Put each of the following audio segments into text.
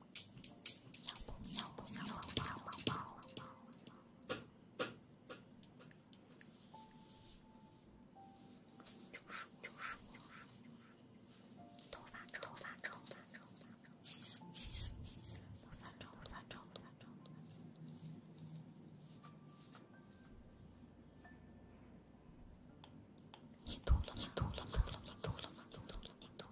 想胖想胖想胖胖胖你秃了你秃了秃了了秃了你秃了你秃了！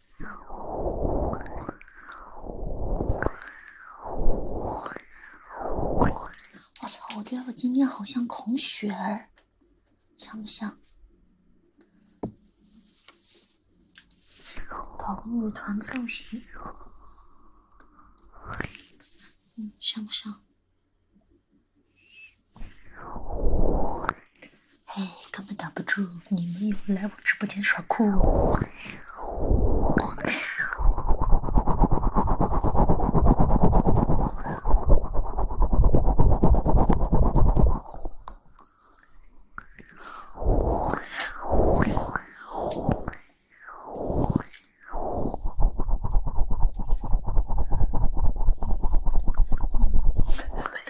我操！我觉得我今天好像孔雪儿，像不像？桃木团造型，嗯，像不像？哎，根本挡不住！你们又来我直播间耍酷？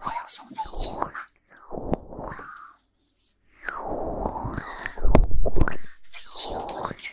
我要送飞禽了。飞禽的绝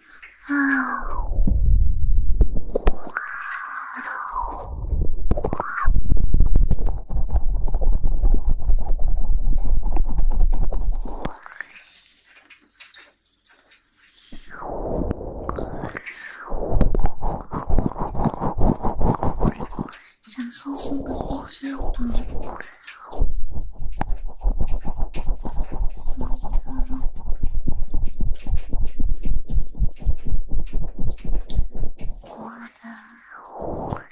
小松鼠的飞机房。喜欢的，我的，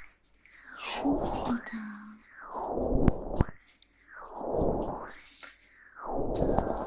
舒服的，我的，我的，我的，我的。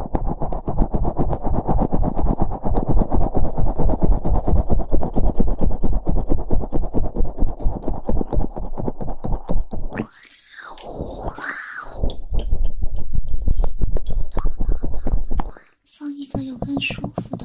放一个有更舒服的。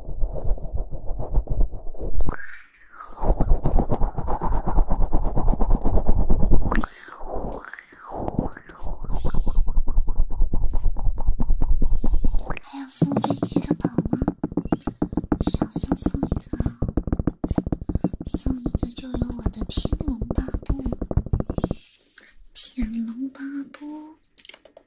还有送飞机的宝吗？想送送一个，送一个就有我的《天龙八部》。天龙八部。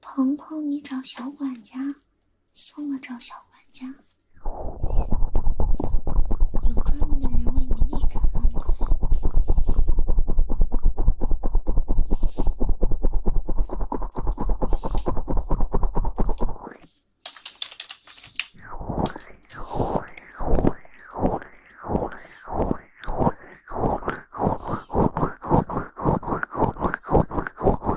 鹏鹏，你找小管家。送了，找小管家。有专门的人为你立服务。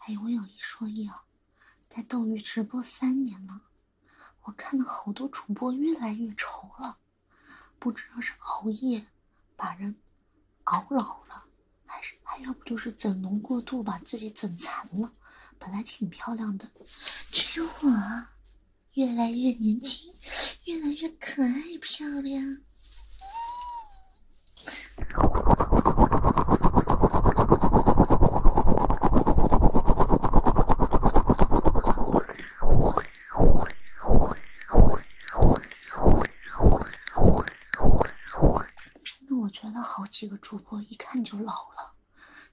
哎，我有一说一啊，在斗鱼直播三年了，我看到好多主播越来越丑了，不知道是熬夜把人熬老了，还是还要不就是整容过度把自己整残了。本来挺漂亮的，只有我越来越年轻，越来越可爱漂亮。真的，我觉得好几个主播一看就老了，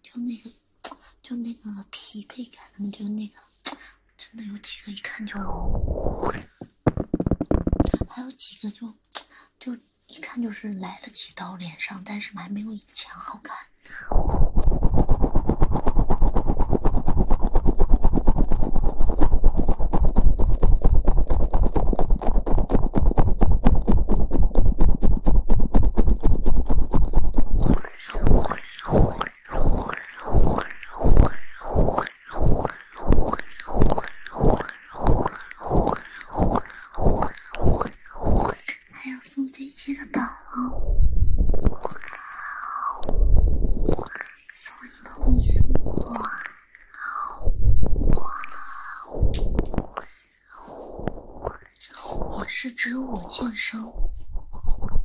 就那个，就那个疲惫感，就那个，真的有几个一看就老。还有几个就就一看就是来了几刀脸上，但是还没有以前好看。还有送飞机的狗啊！所以你说，也是只有我健身，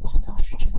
这倒是真的。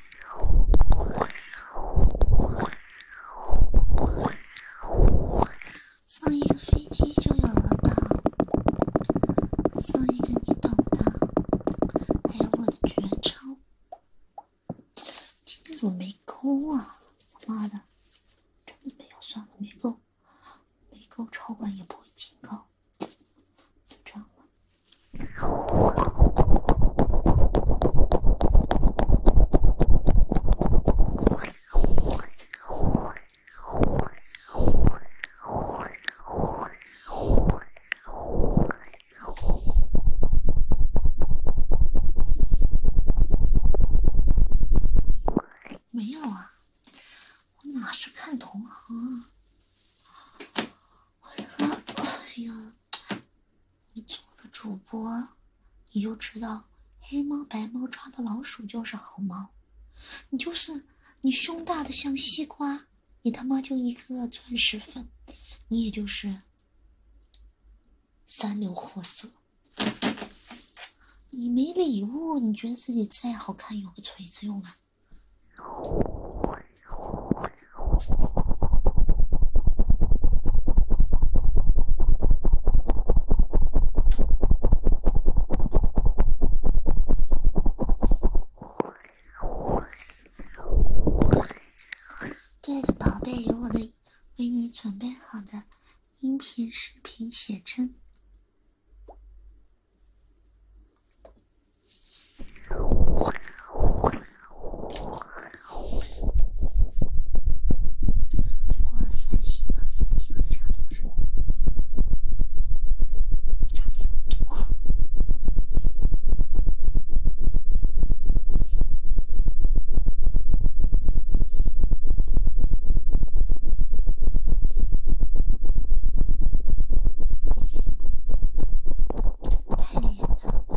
上一个飞机就有了吧？送一个你懂的，还有我的绝招。怎么没勾啊？妈的，真的没有，算了，没勾，没勾，超管也不会警告，就这样了。没有啊，我哪是看同行啊？我靠！哎呀！你做了主播，你就知道黑猫白猫抓到老鼠就是好猫。你就是你胸大的像西瓜，你他妈就一个钻石粉，你也就是三流货色。你没礼物，你觉得自己再好看有个锤子用啊？亲爱的宝贝，有我的为你准备好的音频、视频、写真。不三十秒、三十秒差不多，非常近，多太厉害了。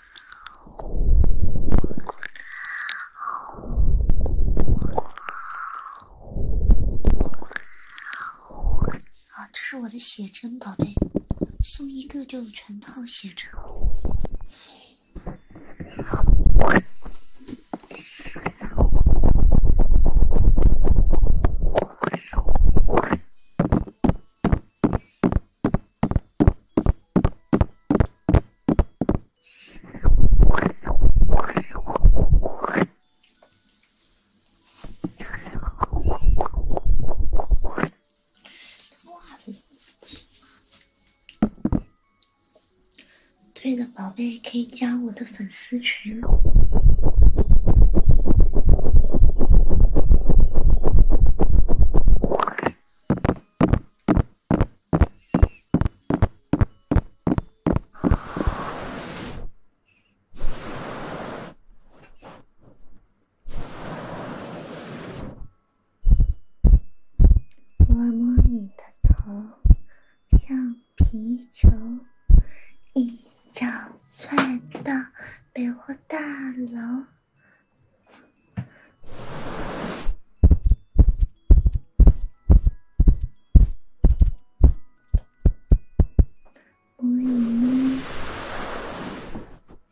好，这是我的写真宝贝，送一个就全套写真。对的，宝贝，可以加我的粉丝群。我摸你的头，像皮球，一脚踹到百货大楼。我已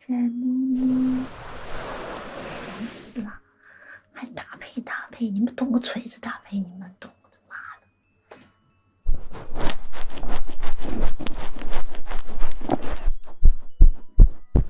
经在摸摸，烦死了！还搭配搭配，你们懂个锤子搭配？你们懂？妈的！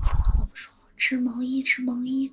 好了，不说织毛衣，织毛衣。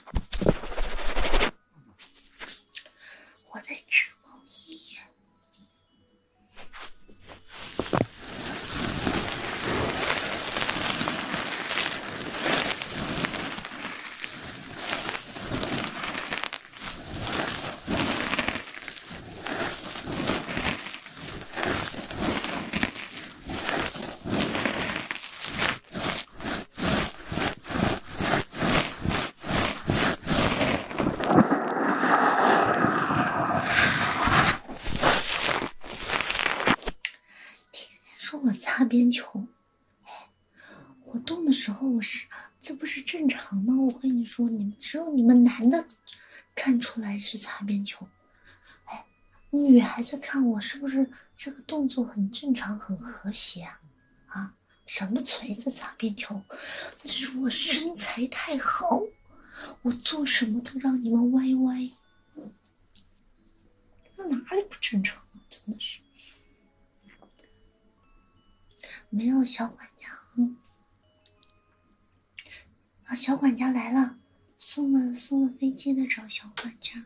我在织毛衣。天天说我擦边球，哎，我动的时候我是，这不是正常吗？我跟你说，你们只有你们男的看出来是擦边球，哎。女孩子看我是不是这个动作很正常、很和谐啊？啊，什么锤子砸边球？是我身材太好，我做什么都让你们歪歪。那哪里不正常？真的是，没有小管家。啊，小管家来了，送了送了飞机的找小管家。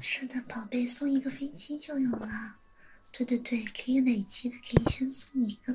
是的，宝贝送一个飞机就有了。对对对，可以累积的，可以先送一个。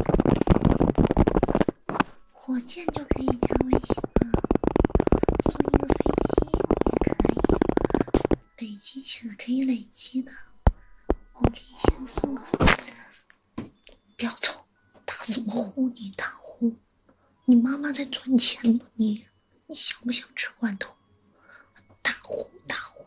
火箭就可以加微信了，送一个飞机也可以，累积起来可以累积的。我可以先送。不要走，打什么呼！你打呼，你妈妈在赚钱呢，你，你想不想吃罐头？打呼！打呼！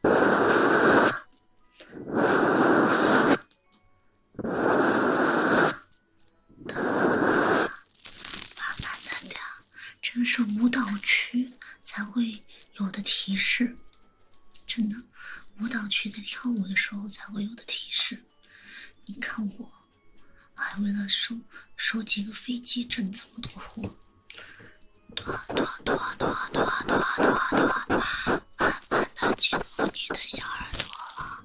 爸爸在哪？这是舞蹈区才会有的提示，真的，舞蹈区在跳舞的时候才会有的提示。你看我，还为了收收几个飞机，挣这么多活。拖拖拖拖拖拖拖，慢慢的亲吻你的小耳朵了。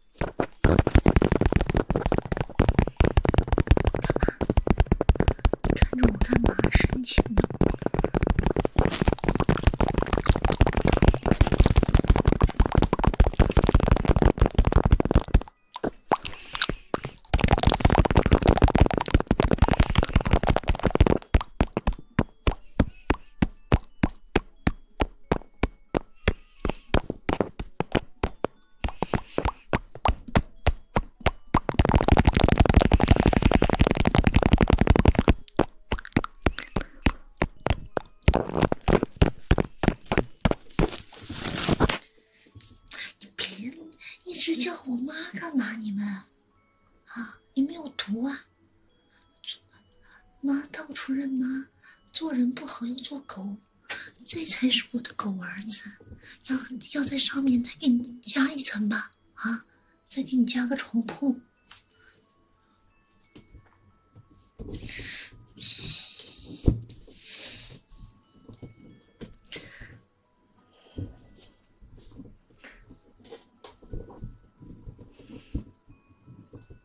干嘛？看着我干嘛？深情的。你别一直叫我妈干嘛？你们啊，你们有毒啊！妈到处认妈，做人不好又做狗。这才是我的狗儿子，要要在上面再给你加一层吧，啊，再给你加个床铺。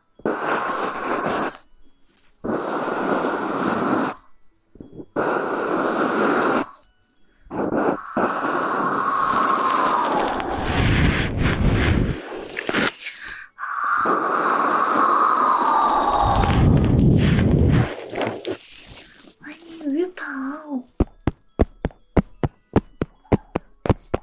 欢迎鱼宝。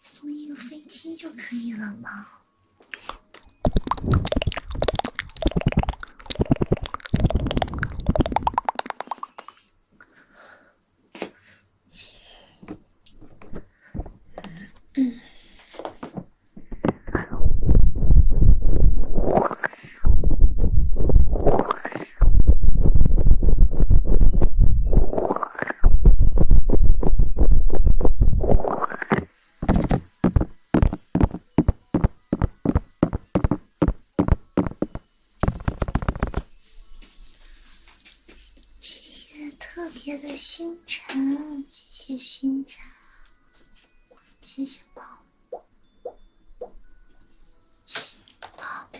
送一个飞机就可以了吗？谢谢特别的星辰，谢谢星辰，谢谢宝。宝。好。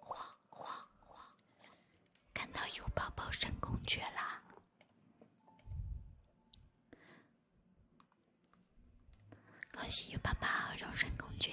晃晃晃，看到有宝宝升公爵啦！恭喜有宝宝荣升公爵！